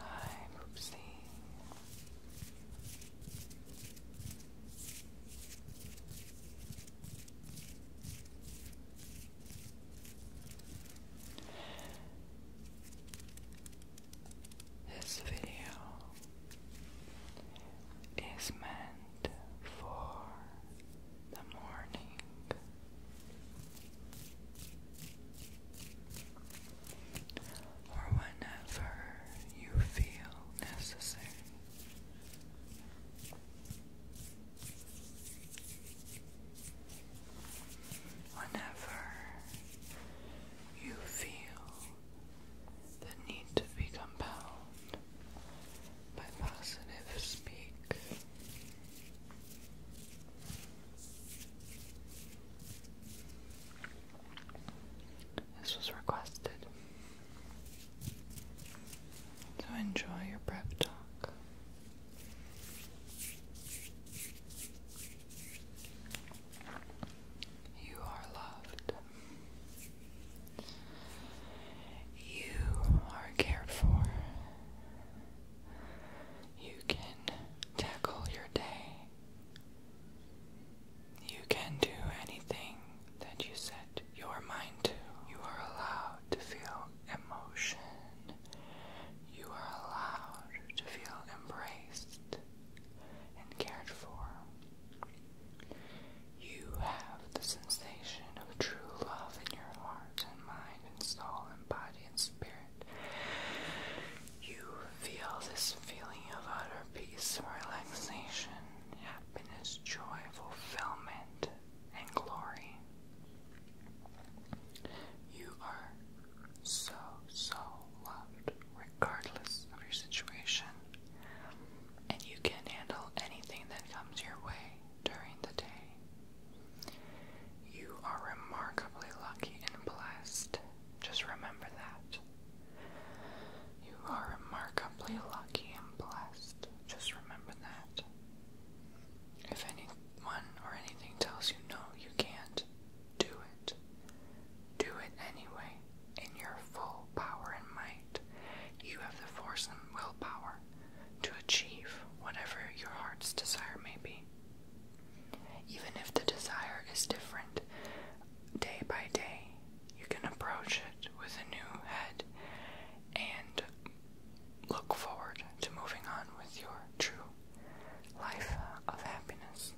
Hi, Moopsie. This video is meant for the morning. Or whenever you feel necessary. Whenever you feel that need to be compelled by positive speak. This was requested. So enjoy your prep talk. You are loved. You are cared for. You can tackle your day. You can do anything that you set your mind to. You are allowed to feel emotion. You are allowed to feel embraced and cared for. You have the sensation of true love in your heart and mind and soul and body and spirit. You feel this feeling of utter peace, relaxation, happiness, joy, fulfillment, and glory. You are so, so loved, regardless of your situation, and you can handle anything that comes your way during the day. You are remarkably lucky and blessed. Just remember that. You are remarkably lucky and blessed. Just remember that. If anyone or anything tells you no, you can't do it. Do it anyway in your full power and might, you have the force and willpower to achieve whatever your heart's desire may be. Even if the desire is different day by day, you can approach it with a new head and look forward to moving on with your true life of happiness.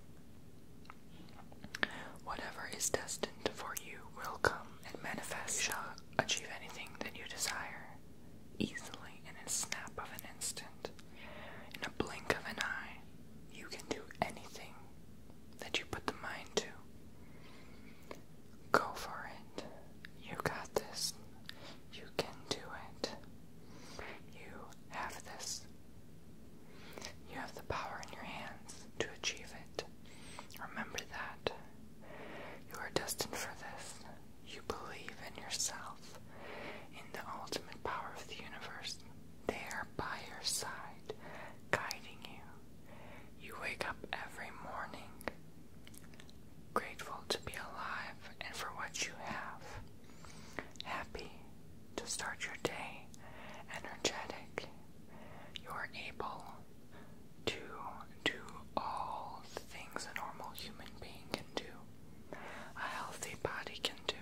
Whatever is destined for you will come and manifest. You shall achieve anything that you desire easily in a snap of an instant. In a blink of an eye, you can do anything that you put the mind to. Go for it. You got this. You can do it. You have this. You have the power in your hands to achieve it. Remember that. You are destined for this. You believe in yourself, in the ultimate power of the universe. They are by your side, guiding you. You wake up every morning, grateful to be alive and for what you have. Happy to start your day, energetic. You are able to do all things a normal human being can do, a healthy body can do.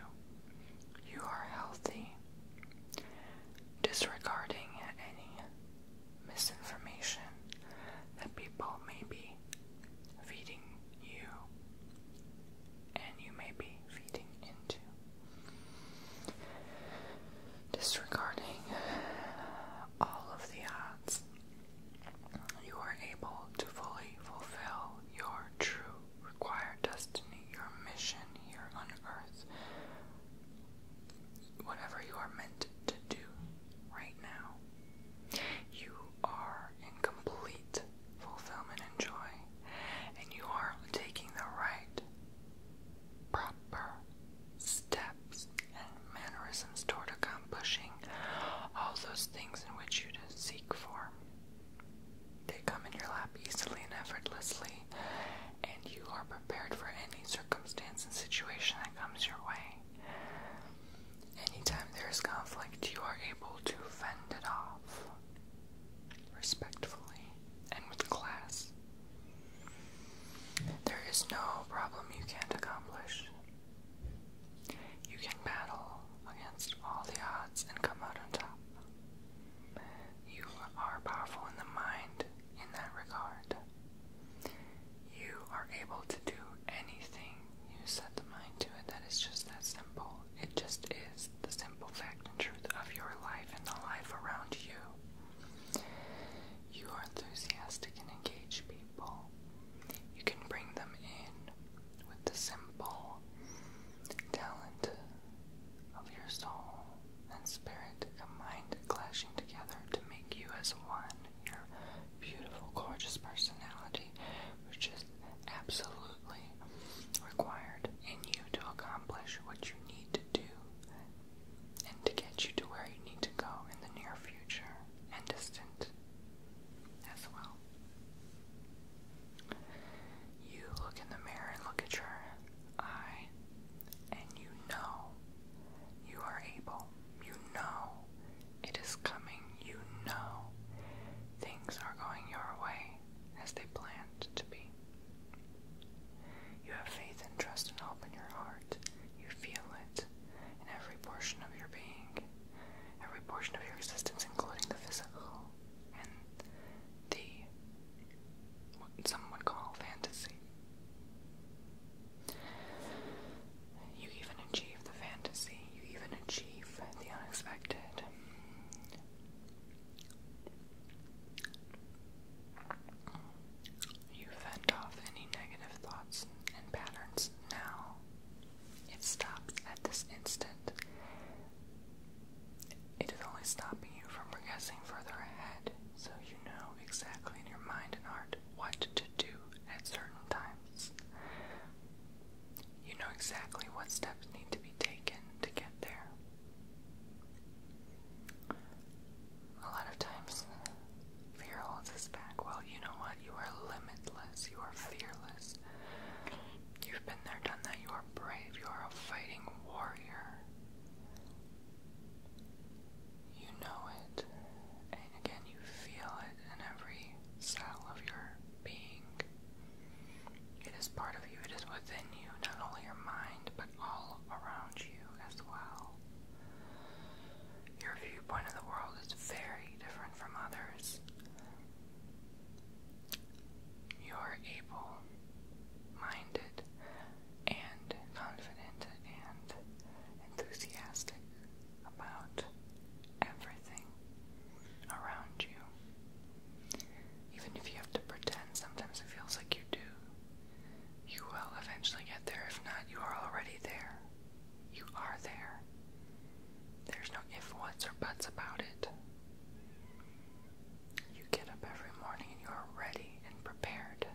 You are healthy. Disregarding any misinformation that people may be feeding you and you may be feeding into disregarding all of the odds, you are able to fully fulfill your true required destiny, your mission here on earth, whatever you are meant to do right now. You are in complete fulfillment and joy, and you are taking the right proper steps and mannerisms toward accomplishing all those things in which you seek for. They come in your lap easily and effortlessly, and you are prepared for any circumstance and situation that comes your way. Anytime there is conflict, you are able to fend it off respectfully and with class. There is no problem you can't accomplish. You can battle against all the odds and come out on top. You are powerful in the mind in that regard. You are able to do anything you set the mind to it. That is just that simple. It just is the simple fact and truth of your life and the life around you. You are enthusiastic and engage people. You can bring them in with the simple talent of your soul and spirit mind clashing together to make you as one. Your beautiful, gorgeous personality, which is absolutely required in you to accomplish what you need to do and to get you to where you need to go in the near future and distant as well. You look in the mirror and look at your eye, and you know you are able. You know it is coming. You know things are going your way as they planned to be. You have faith and trust and hope in your heart. You feel it in every portion of your being, every portion of your existence, including the physical and the what some would call fantasy. You even achieve the fantasy, you even achieve the unexpected. You fend off any negative thoughts and patterns now. It stops at this instant. It is only stopping you from progressing further ahead, so you know exactly in your mind and heart what to do at certain times. You know exactly what steps need to be taken to get there a lot of times fear holds us back. Well, you know what? You are limitless. You are fearless. You've been there, done that. You are brave. You are a fighting warrior. You know it. And again, you feel it in every cell of your being. It is part of you, it is within you, not only your mind, but all around you as well. Your viewpoint of the world is very different from others. You're able minded and confident and enthusiastic about everything around you. Even if you have to pretend, sometimes it feels like you do you will eventually get there. If not, you are already there. You are there. There's no if, whats, or buts about it. You get up every morning and you are ready and prepared.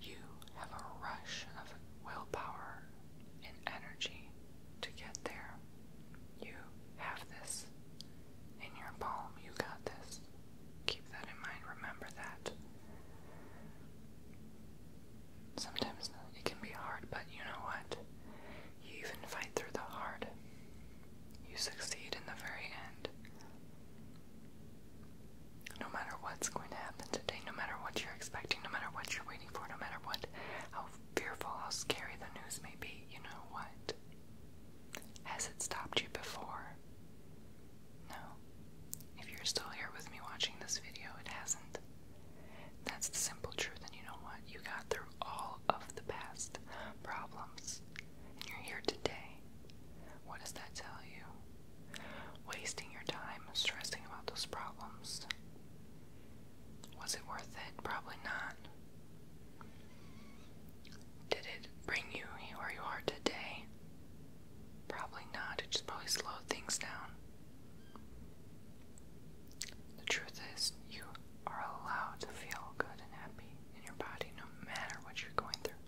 You have a rush of willpower and energy to get there. You have this in your palm. You got this keep that in mind, remember that. Sometimes it can be hard, but you know what? You even fight through the hard. You succeed in the very end. No matter what's going to happen today, no matter what you're expecting, no matter what you're waiting for, no matter what, how fearful, how scary the news may be, you know what? Has it stopped you before? No. If you're still here with me watching this video, it hasn't. That's the simple truth, and you know what? You got through all of the past problems, and you're here today. What does that tell you? Wasting your time stressing about those problems. Was it worth it? Probably not. Did it bring you where you are today? Probably not. It just probably slowed things down. The truth is, you are allowed to feel good and happy in your body no matter what you're going through,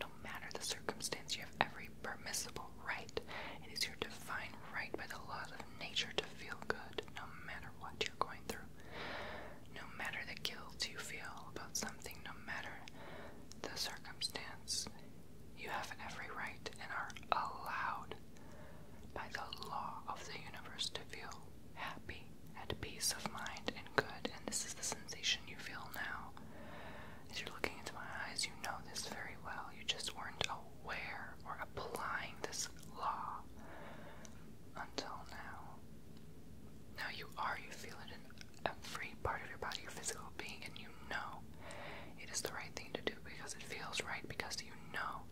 no matter the circumstance. You have every permissible right. It is your divine right by the laws of nature to feel good no matter what you're going through. No matter the guilt you feel about something, no matter the circumstance, you have every right and are allowed by the law of the universe to feel happy, and peace of mind, and good. And this is the sensation you feel now. As you're looking into my eyes, you know this very well. You just weren't aware or applying this law until now. Now you are, you feel it in every part of your body, your physical being, and you know it is the right thing to do because it feels right, because you know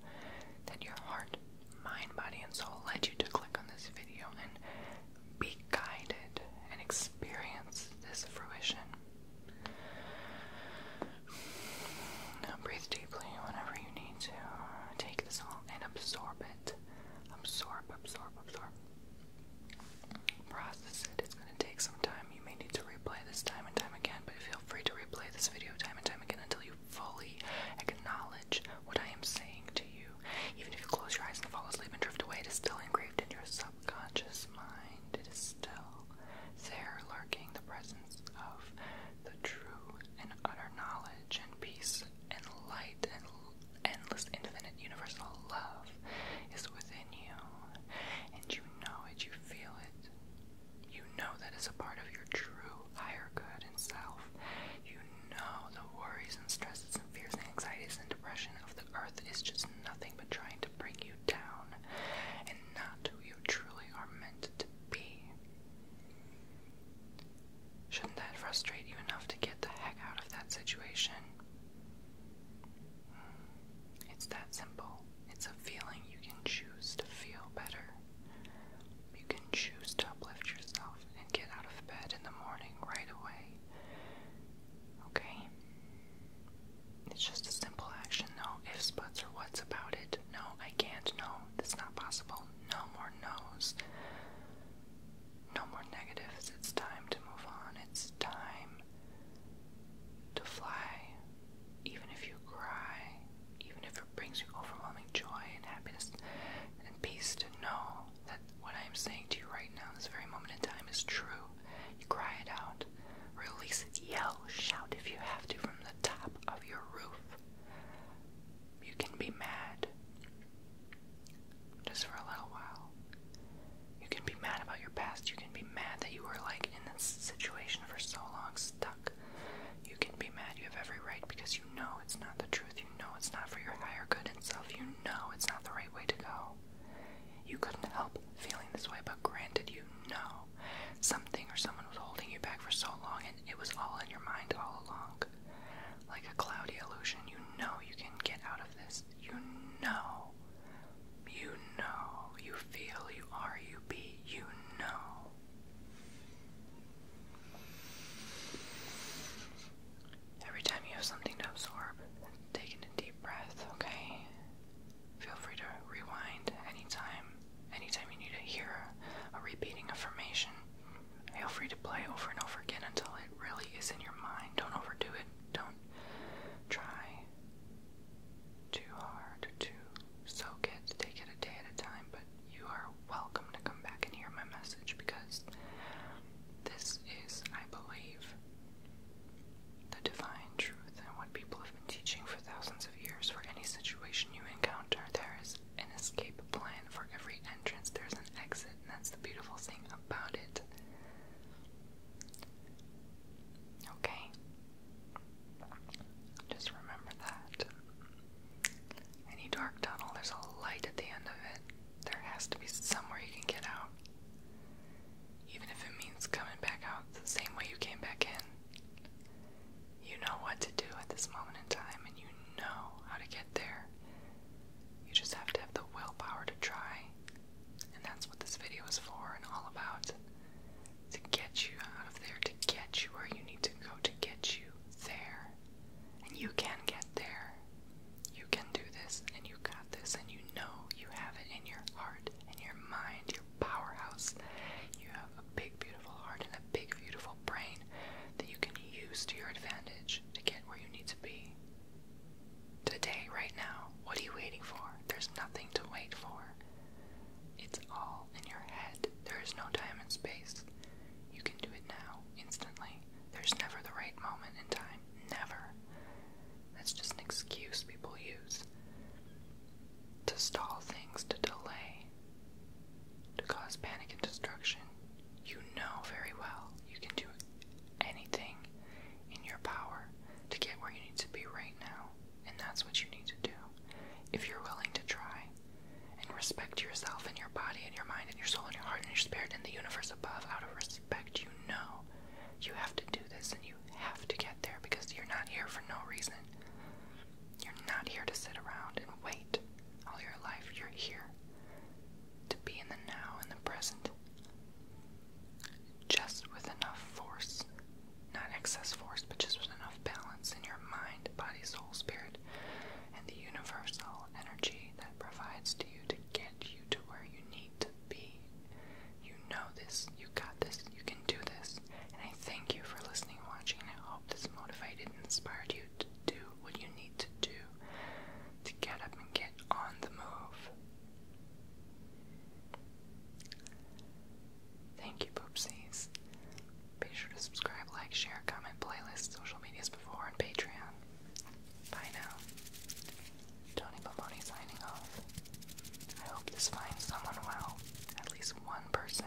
that your heart, mind, body, and soul led you to click on this video and be guided and experience this fruition. Now breathe deeply whenever you need to. Take this all and absorb it. Absorb, absorb, absorb process it. It's going to take some time. You may need to replay this time and time again, but feel free to replay this video time and time again until you fully acknowledge what I am saying to you. Even if you close your eyes and fall asleep and drift away, it is still engraved in your subconscious mind. It is still there lurking the presence of the true and utter knowledge and peace and light and endless infinite universal love is within you and you know it, you feel it. You know that it's a part of your true higher good and self. You know the worries and stresses and fears and anxieties and depression of the earth is just nothing but trying to bring you down and not who you truly are meant to be. Shouldn't that frustrate you enough to get the heck out of that situation? It's that simple. It's a feeling you can choose to feel better. You can choose to uplift yourself and get out of bed in the morning right away. Okay? It's just a simple action. No ifs, buts, or what's about it. No, I can't. No, that's not possible. No more no's. No more negatives. It's time to move on. It's time to fly. Even if you cry, even if it brings you overwhelming joy and happiness and peace to know that what I am saying to you right now, this very moment in time, is true. You cry it out, release it, yell, shout if you have to from the top of your roof. You can be mad. Just for a little while. You can be mad about your past. You can be mad that you were like in this situation for so long, stuck. You can be mad. You have every right because you know it's not the truth. You know it's not for your higher good and self. You know it's not the right way to go. You couldn't help feeling this way, but granted, you know something or someone was holding you back for so long and it was all in your mind all along like a cloudy illusion. You know you can get out of this. You know. You know. You feel, you are, you be, you know. Every time you have something to absorb, take in a deep breath, okay? Feel free to rewind anytime. Anytime you need to hear a, a repeating affirmation, feel free to play over and over again until it really is in your mind. Don't overdo it. Don't do try too hard to soak it, take it a day at a time, but you are welcome to come back and hear my message because this is, I believe, the divine truth and what people have been teaching for thousands of years. For any situation you encounter, there is an escape plan. For every entrance, there's an exit, and that's the beautiful thing about it. Okay? Just remember that. Any dark tunnel, there's a light at the end of it. There has to be somewhere you can get out. Even if it means coming back out the same way you came back in. You know what to do at this moment in time, and you know how to get there. You just have to have the willpower to try and that's what this video is for and all about. To get you out of there, to get you where you need to go, to get you there. And you can get there. You can do this, and you got this, and you know you have it in your heart, in your mind, your powerhouse. You have a big, beautiful heart and a big, beautiful brain that you can use to your advantage to get where you need to be. Today, right now, what are you waiting for? There's nothing to wait for. It's all in your head. There is no time and space. You can do it now, instantly. There's never the right moment in time. Never. That's just an excuse people use to stall things, to delay, to cause panic and destruction. You know very well you can do it anything in your power to get where you need to be right now, and that's what you need to do. If you're willing to try and respect yourself and your body and your mind and your soul and your heart and your spirit and the universe above out of respect, you know you have to do this and you have to get there because you're not here for no reason. You're not here to sit around and wait all your life. You're here to be in the now and the present just with enough force, not excess force, but just with enough balance in your mind, body, soul, spirit, and the universal energy that provides to you to get you to where you need to be. You know this, you got this, you can do this. And I thank you for listening and watching, and I hope this motivated and inspired you to do what you need to do to get up and get on the move. Thank you, poopsies. Be sure to subscribe, like, share, comment, playlist, social medias before, and Patreon. Bye now. Tony Bomboni signing off. I hope this finds someone well, at least one person.